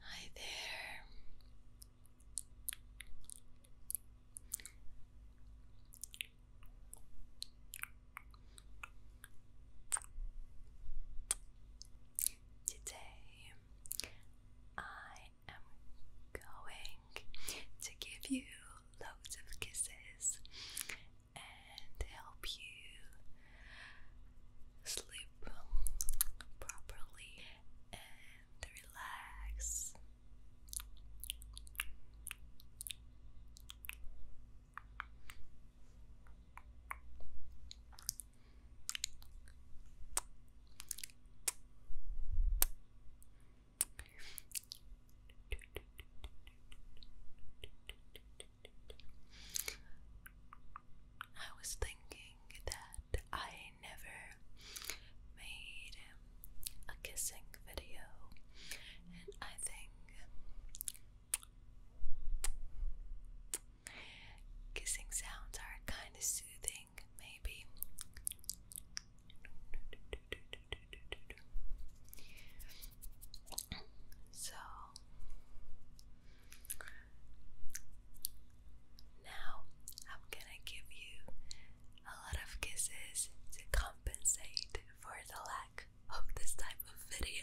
Hi there. Today I am going to give you loads of kisses and help you sleep properly and relax. I was thinking that I never made a kissing video, and I think kissing sounds are kind of soothing, maybe. So now I'm gonna give you a lot of kisses to compensate for the lack of this type of videos.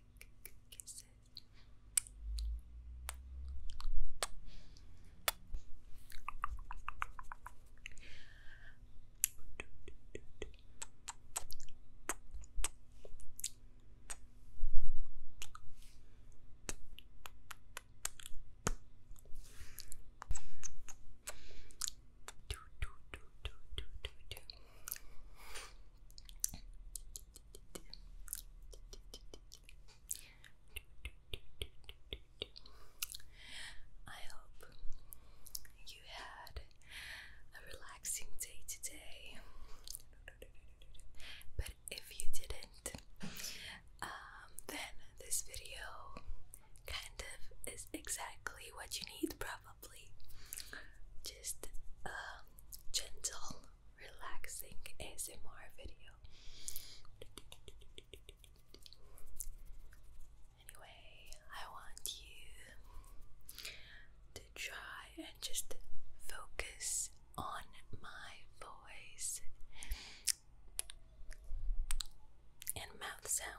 kisses. I hope you had a relaxing day today. But if you didn't, um, then this video kind of is exactly what you need, probably just a gentle, relaxing ASMR video. Anyway, I want you to try and just focus on my voice and mouth sounds.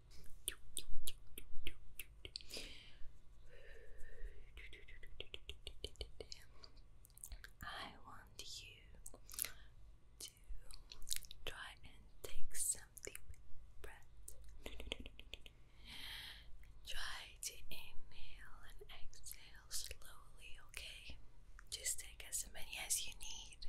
I want you to try and take something deep breath. Try to inhale and exhale slowly, okay? Just take as many as you need.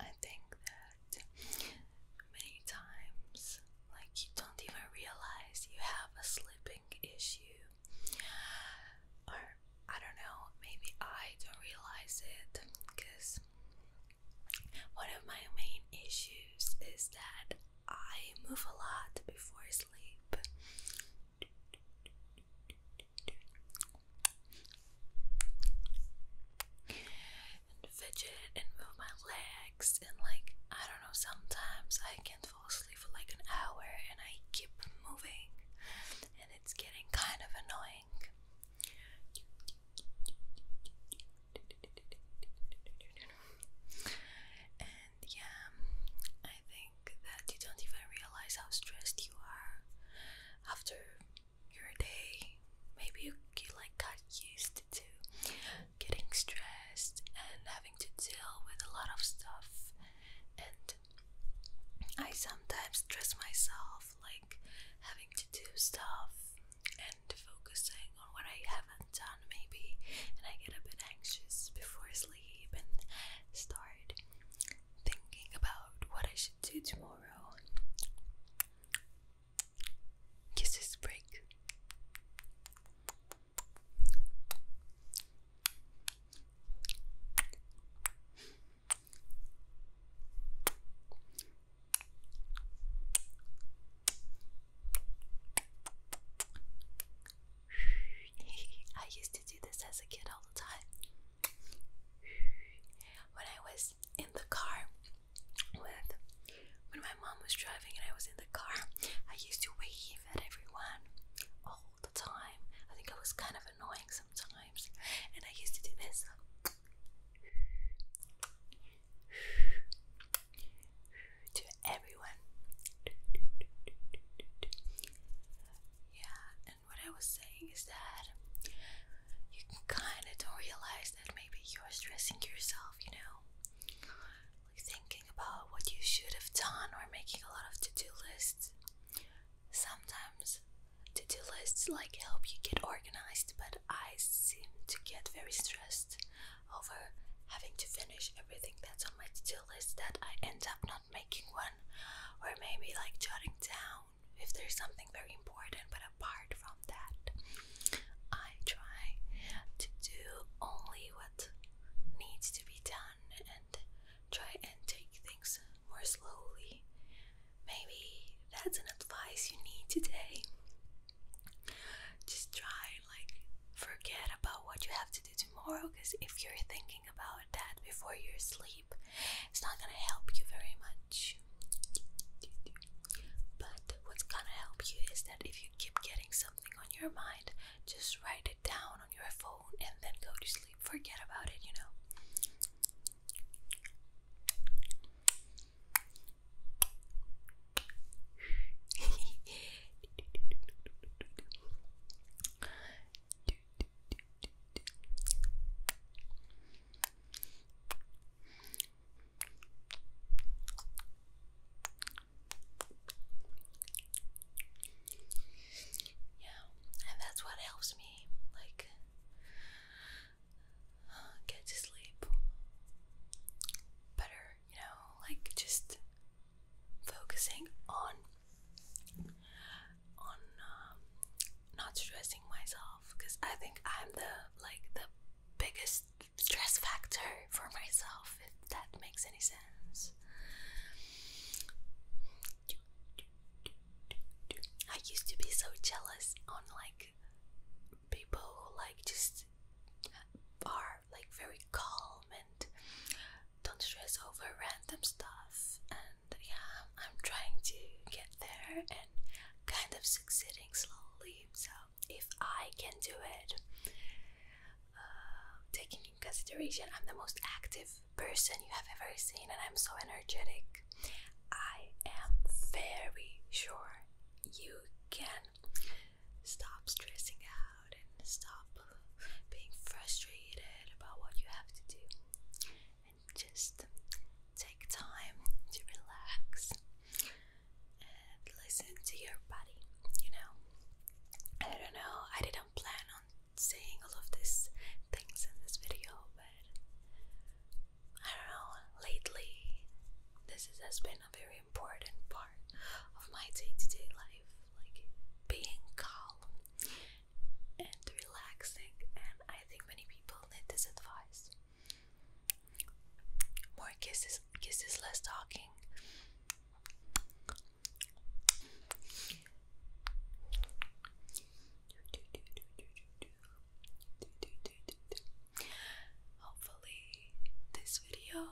I think that many times, like, you don't even realize you have a sleeping issue, or I don't know, maybe I don't realize it because one of my main issues is that I move a lot before sleep. And fidget and move my legs, and like, I don't know, sometimes I can't fall asleep for like an hour and I keep moving, and it's getting kind of annoying. And yeah, I think that you don't even realize how stressed you are after your day. Maybe you, you like got used to getting stressed and having to deal with a lot of stuff. And I sometimes stress myself, like having to do stuff and focusing on what I haven't done, maybe, and I get a bit anxious before sleep and start thinking about what I should do tomorrow. Kisses break. I used to do this as a kid all the time. When I was in the car with when my mom was driving and I was in the car, I used to wave at everyone all the time. I think it was kind of annoying sometimes, and I used to do this to everyone. Yeah, and what I was saying is that you kind of don't realize that maybe you're stressing yourself, you know, thinking about what you should have done or making a lot of to do lists. Sometimes to do lists like help you get organized, but I seem to get very stressed over having to finish everything that's on my to-do list that I end up not making one or maybe like jotting down if there's something very important but apart from that I try to do only what needs to be done and try and take things more slowly maybe that's an advice you need today. Just try like forget about what you have to do tomorrow because if you're thinking about that before you sleep, it's not gonna help you very much. But what's gonna help you is that if you keep getting something on your mind, just write it down on your phone and then go to sleep. Forget about it, you know. Yeah, and that's what helps me like get to sleep better, you know, like just focusing on on um, not stressing myself because I think I'm the like the biggest stress factor for myself if that makes any sense. I used to be so jealous on like people who like just are like very calm and don't stress over random stuff and yeah I'm trying to get there and kind of succeeding slowly so if I can do it uh, taking in consideration I'm the most active person you have ever seen and I'm so energetic I am very sure you can stop stressing out and stop being frustrated about what you have to do and just take time to relax and listen to your body, you know. I don't know, I didn't plan on saying all of these things in this video, but I don't know, lately this has been a very important part of my day to day life. Like being calm and relaxing, and I think many people need this advice. More kisses, kisses, less talking. Hopefully, this video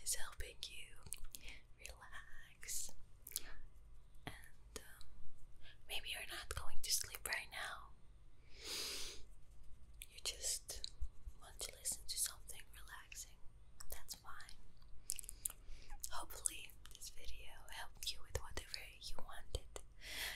is helping you relax, and um, maybe you're not going to sleep right now. You just want to listen to something relaxing. That's fine. Hopefully, this video helped you with whatever you wanted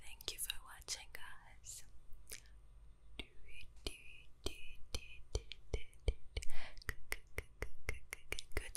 Thank you for watching, guys. Good